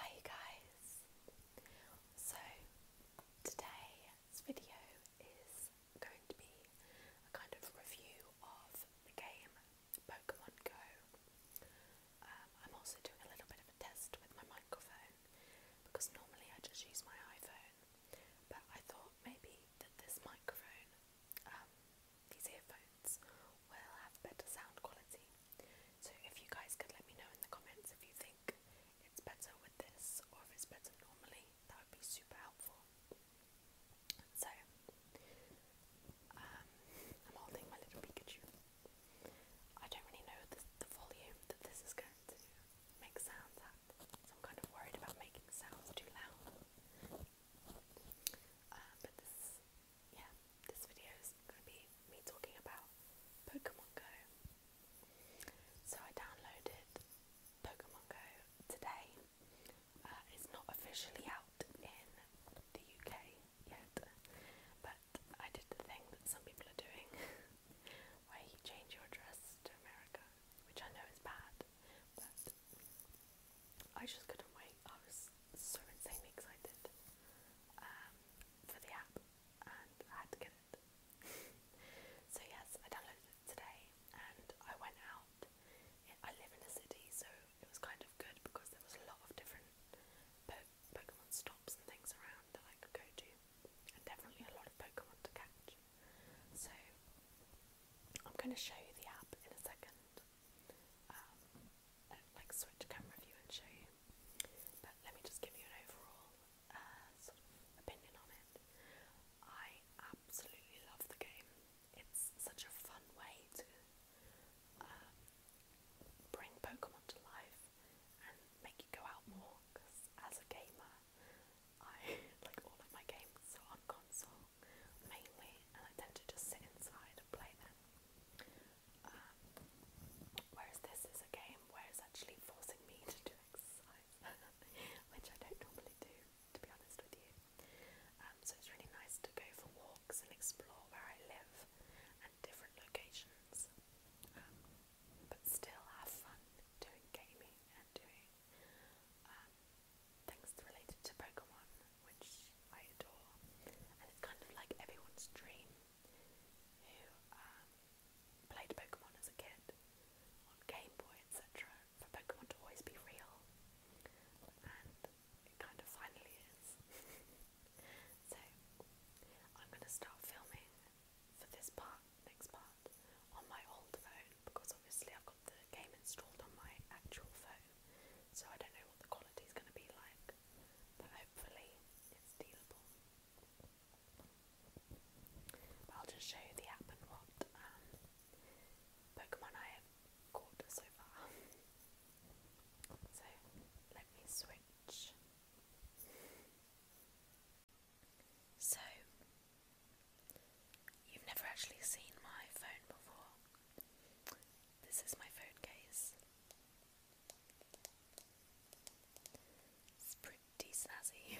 Hi guys! So today's video is going to be a kind of review of the game Pokemon Go. Um, I'm also doing a little bit of a test with my microphone because normally I just use my iPhone but I thought maybe that this microphone, um, these earphones, will have better sound quality so if you guys could let me know in the comments if you think it's better with this or if it's better normally, that would be super helpful. So um, I'm holding my little Pikachu. I don't really know the, the volume that this is going to make sounds at, so I'm kind of worried about making sounds too loud. Uh, but this yeah, this video is going to be me talking about Pokemon Go. So I downloaded Pokemon Go today. Uh, it's not officially out in the UK yet, but I did the thing that some people are doing where you change your address to America, which I know is bad, but I just couldn't wait. I was so insanely excited. Um, for the app and had to get it. so yes, I downloaded it today and I went out. I live in a city so it was kind of good because there was a lot of different Pokemon stops and things around that I could go to and definitely a lot of Pokemon to catch. So I'm going to show you the app in a second. Um, like switch camera view and show you. But let me just give you an overall uh, opinion on it. I absolutely love the game. It's such a fun way to um, bring Pokemon to life and make you go out more. Because as a gamer, I like all of my games on console mainly, and I tend to just sit inside and play them. Um, whereas this is a game where it's actually forcing me to do exercise, which I don't normally do, to be honest with you. Um, so it's really nice to go for walks and explore where I live and different locations, um, but still have fun doing gaming and doing um, things related to Pokemon which I adore, and it's kind of like everyone's dream who um, played Pokemon as a kid on Game Boy, etc., for Pokemon to always be real, and it kind of finally is. so, I'm going to start filming for this part, next part, on my old phone because obviously I've got the game installed on my actual phone so I don't know what the quality is going to be like, but hopefully it's dealable. I'll just show you the app and what um, Pokemon I have caught so far. So let me switch. So, you've never actually seen my phone before. This is my phone case. It's pretty snazzy.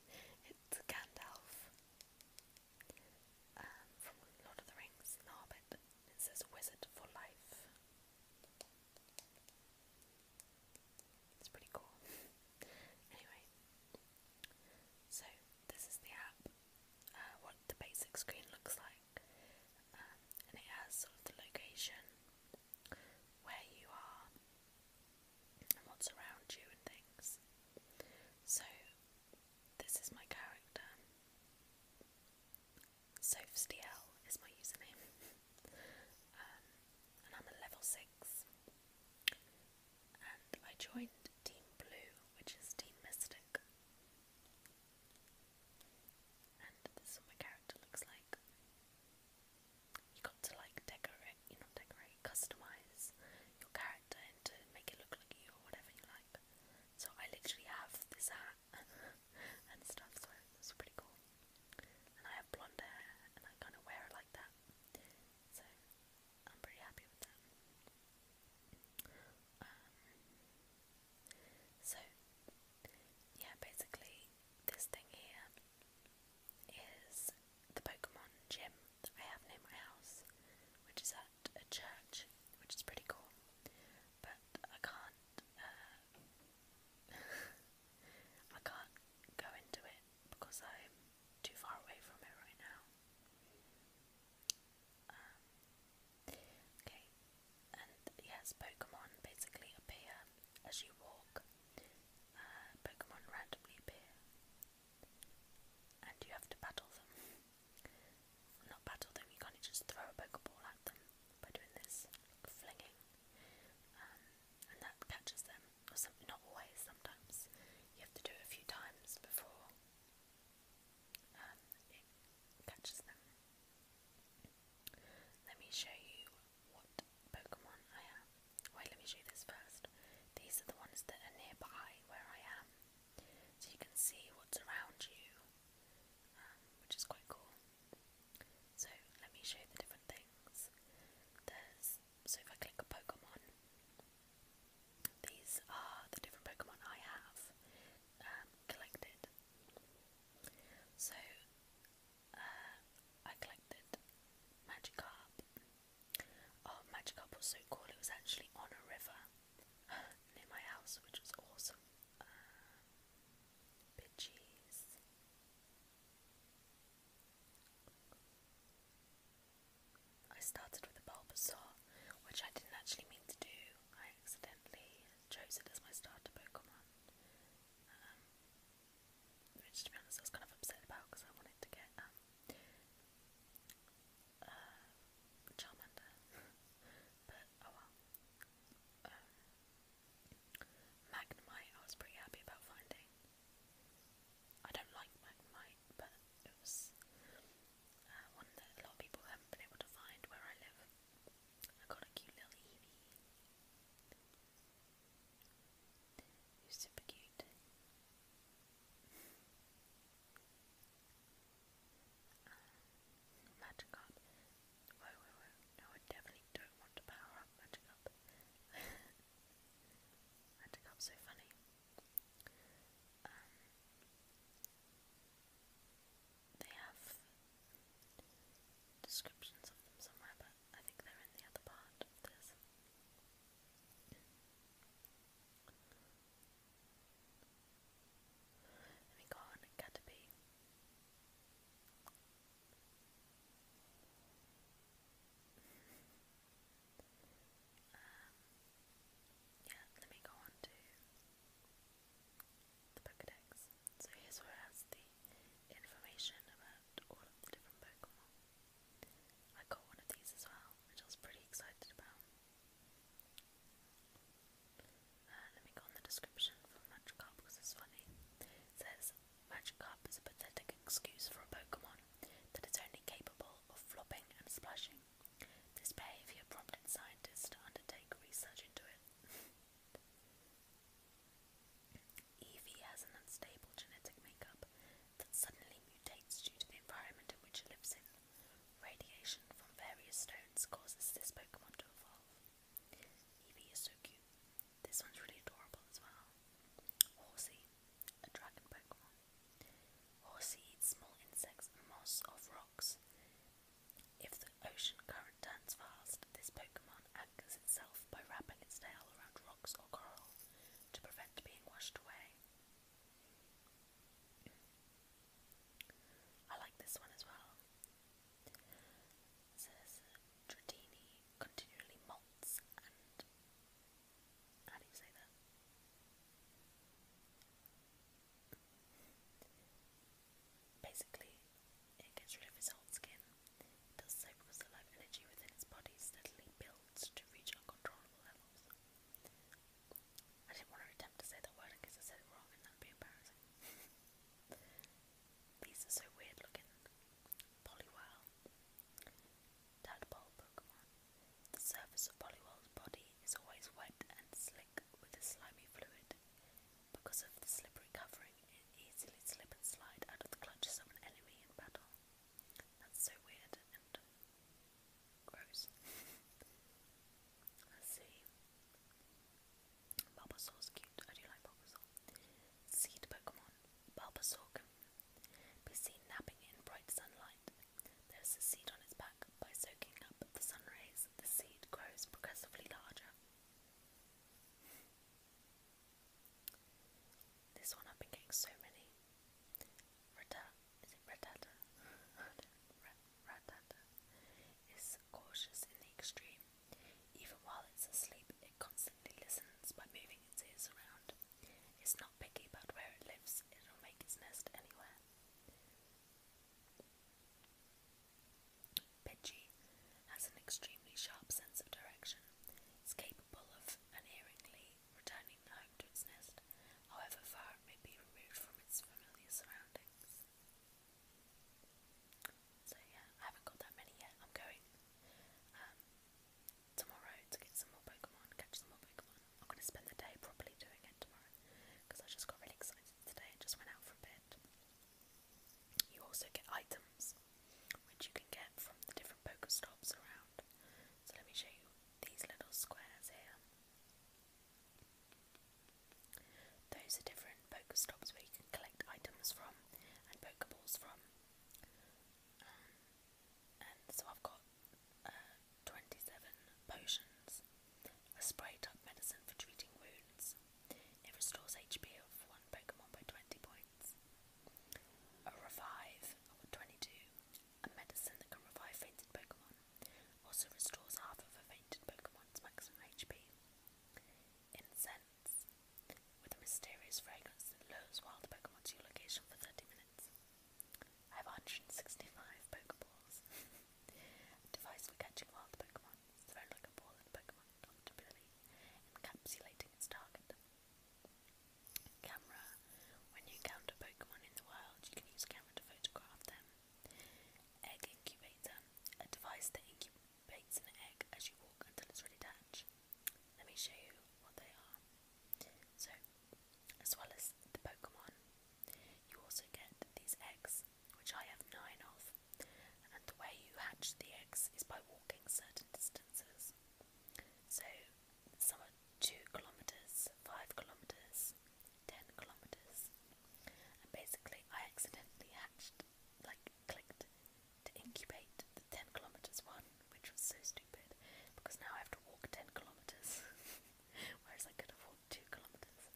it's Gandalf um, from Lord of the Rings, Narbet. It says Wizard for Life. It's pretty cool. anyway, so this is the app. Uh, what the basic screen looks like, um, and it has sort of the location, where you are, and what's around you, and things. So, this is my character. Sophstiel is my username, um, and I'm a level 6. And I joined Team Blue, which is Team Mystic, and this is what my character looks like. You got to like decorate, you know, decorate, customize your character and make it look like you or whatever you like. So I literally have this hat and stuff, so that's pretty cool. And I have blonde hair and I kind of wear like that. So I'm pretty happy with that. Um, so, yeah, basically, this thing here is the Pokemon gym I have near my house, which is at a church, which is pretty cool. But I can't, uh, I can't go into it because I'm too far away from it right now. Um, okay, and yes, Pokemon basically appear as you walk. Uh, Pokemon randomly appear, and you have to battle them. Not battle them, you can't just throw a Pokeball at them by doing this flinging, um, and that catches them. Or some, not always. Sometimes you have to do it a few times before um, let me show you what Pokemon I have. Wait, let me show you this first. These are the ones that are nearby where I am. So you can see what's around you, um, which is quite cool. So let me show you the different things. There's so if I click a Pokemon, these are the different Pokemon I have um, collected. So, uh, I collected Magikarp. Oh, Magikarp was so cool, it was actually on a river near my house, which was awesome. Uh, Pidgeys. I started with a Bulbasaur, which I didn't actually mean to do. I accidentally chose it as my starter Pokemon, um, which to be honest I was kind of upset about because I wanted to get um, uh, Charmander, but oh well. Um, Magnemite I was pretty happy about finding. I don't like Magnemite, but it was uh, one that a lot of people haven't been able to find where I live. I got a cute little Eevee. super cute. um, uh, Magikarp. Whoa, whoa, whoa. No, I definitely don't want to power up Magikarp. Magikarp's so funny. Um, they have descriptions of them somewhere, but I think they're in the other part of this. Let me go on and Caterpie. Um, yeah, let me go on to the Pokedex. So here's where has the information about all of the different Pokemon. I got one of these as well, which I was pretty excited about. Uh, let me go on the description for Magikarp because it's funny. It says Magikarp is a pathetic excuse for a Pokemon that is only capable of flopping and splashing. This behaviour prompted scientists to undertake research into it. Evie has an unstable genetic makeup that suddenly mutates due to the environment in which it lives in. Radiation from various stones causes this Pokemon to evolve. Evie is so cute. This one's really adorable as well. Horsey, a dragon Pokemon. Horse eats small insects and moss off rocks. If the ocean current turns fast, this Pokemon anchors itself by wrapping its tail around rocks or coral to prevent being washed away. I like this one as well. says Dratini continually molts and how do you say that? Basically, it gets rid of its old skin. It does so the life energy within its body steadily builds to reach uncontrollable levels. I didn't want to attempt to say that word because I said it wrong and that'd be embarrassing. These are so weird looking. Poliwhirl. Tadpole Pokemon. The surface of Polywell's body is always wet and slick with a slimy fluid. Because of the slippery covering, it easily slip and slide out of the clutches of an enemy in battle. That's so weird and gross. Let's see. Bulbasaur's cute. I do like Bulbasaur. Seed Pokemon. Bulbasaur be seen napping in bright sunlight. There is a seed on its back. By soaking up the sun rays, the seed grows progressively larger. This one I've been getting so many. Rata, is it ratata? ratata is cautious in the extreme. Even while it's asleep, it constantly listens by moving its ears around. It's not picky about where it lives, it'll make its nest anywhere. Pidgey has an extremely sharp sense of direction. It's capable of unerringly returning home to its nest, however far it may be removed from its familiar surroundings. So yeah, I haven't got that many yet. I'm going. Um, tomorrow to get some more Pokemon, catch some more Pokemon. I'm going to spend the day properly doing it tomorrow because I just got really excited today and just went out for a bit. You also get items which you can get from the different Pokestops around. So let me show you these little squares here. Those are different Pokestops where you can collect items from and Pokeballs from. Um, so I've got uh, 27 potions, a sprayed up medicine for treating wounds. It restores HP of one Pokemon by 20 points. A revive of 22, a medicine that can revive fainted Pokemon. Also restores half of a fainted Pokemon's maximum HP. Incense, with a mysterious fragrance that lures wild Pokemon to your location for 30 minutes. I have 165 Pokeballs. device for catching wild Pokemon, thrown like a ball at Pokemon, comfortably encapsulating its target. Camera. When you encounter Pokemon in the wild, you can use camera to photograph them. Egg incubator. A device that incubates an egg as you walk until it's ready to hatch. Let me show you what they are. So, as well as the Pokemon, you also get these eggs, which I have nine of, and the way you hatch the eggs is by walking certain distances. So, some are two kilometers, five kilometers, ten kilometers, and basically, I accidentally hatched, like, clicked to incubate the 10 kilometers one, which was so stupid because now I have to walk 10 kilometers, whereas I could have walked 2 kilometers.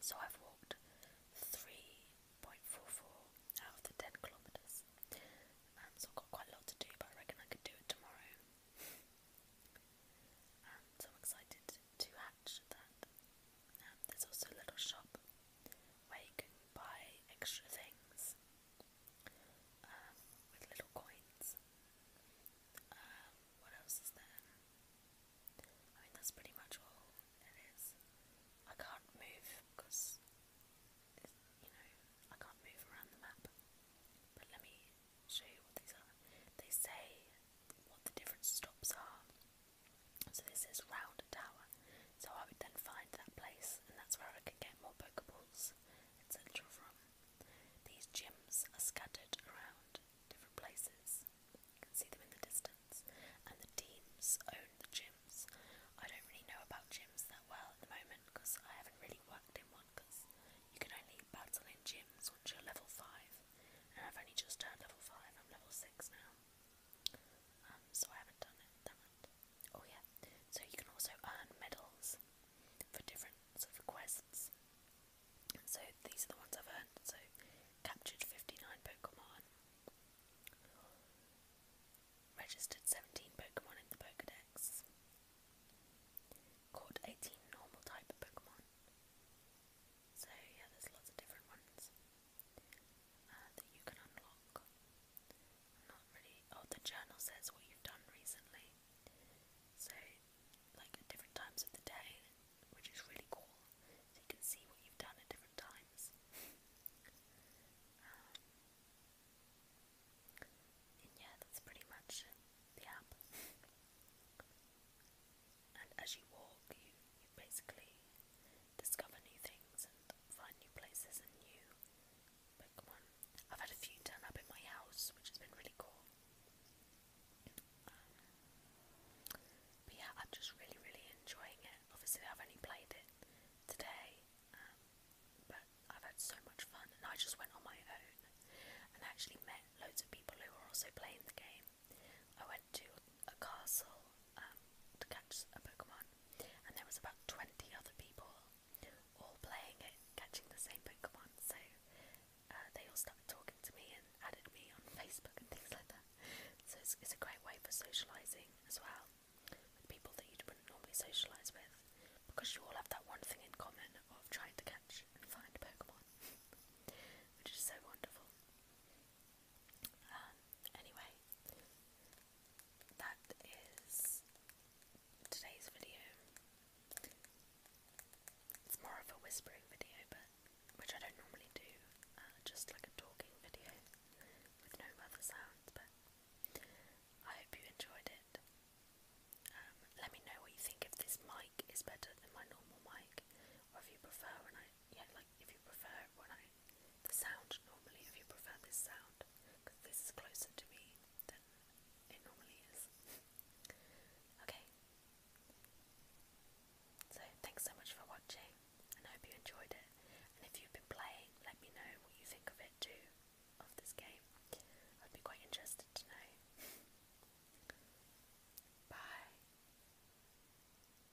So I've walked 3.44 out of the 10 kilometers. Um, so I've got quite a lot to do, but I reckon I could do it tomorrow. Um, so I'm excited to hatch that. Um, there's also a little shop where you can buy extra things um, with little coins. Um, what else is there? I mean, that's pretty much all it is. I can't move because, you know, I can't move around the map. But let me show you what these are. They say what the different stops are. So this is Round Tower so I would then find that place, and that's where I could get more Pokeballs, etc. from. These gyms are scattered around different places. You can see them in the distance, and the teams own the gyms. I don't really know about gyms that well at the moment because I haven't really worked in one. Because you can only battle in gyms once you're level five, and I've only just turned level five. I'm level six now, um, so I haven't done it that much. Oh yeah, so you can also earn medals for different sort of quests. So these are the ones I've earned. So captured 59 Pokemon, registered 17 Pokemon in the Pokedex, caught 18 normal type Pokemon. So yeah, there's lots of different ones uh, that you can unlock. not really. Oh, the journal says what you've done recently. So, like at different times of the day, which is really cool. you can see what you've done at different times. Um, and yeah, that's pretty much the app. and as you walk, you, you basically discover new things and find new places and new Pokemon. I've had a few turn up in my house, which has been really cool. Um, but yeah, I'm just really, really enjoying it. Obviously, I've only played it today, um, but I've had so much fun, and I just went on my own and I actually met loads of people who were also playing the game. I oh, went to a castle um, to catch a Pokemon, and there was about 20 other people all playing it, catching the same Pokemon. So uh, they all started talking to me and added me on Facebook and things like that. So it's, it's a great way for socialising as well with people that you wouldn't normally socialise with because you all have that one thing in common of trying to catch and find Pokemon, which is so wonderful. Um, anyway, that is today's video. It's more of a whispering video, but which I don't normally do, uh, just like a talking video with no other sounds. But I hope you enjoyed it. Um, let me know what you think if this mic is better than my normal mic, or if you prefer when I yeah, like if you prefer when I the sound normally, if you prefer this sound, because this is closer to me than it normally is. okay. So thanks so much for watching, and I hope you enjoyed it. And if you've been playing, let me know what you think of it too, of this game. I'd be quite interested to know. Bye.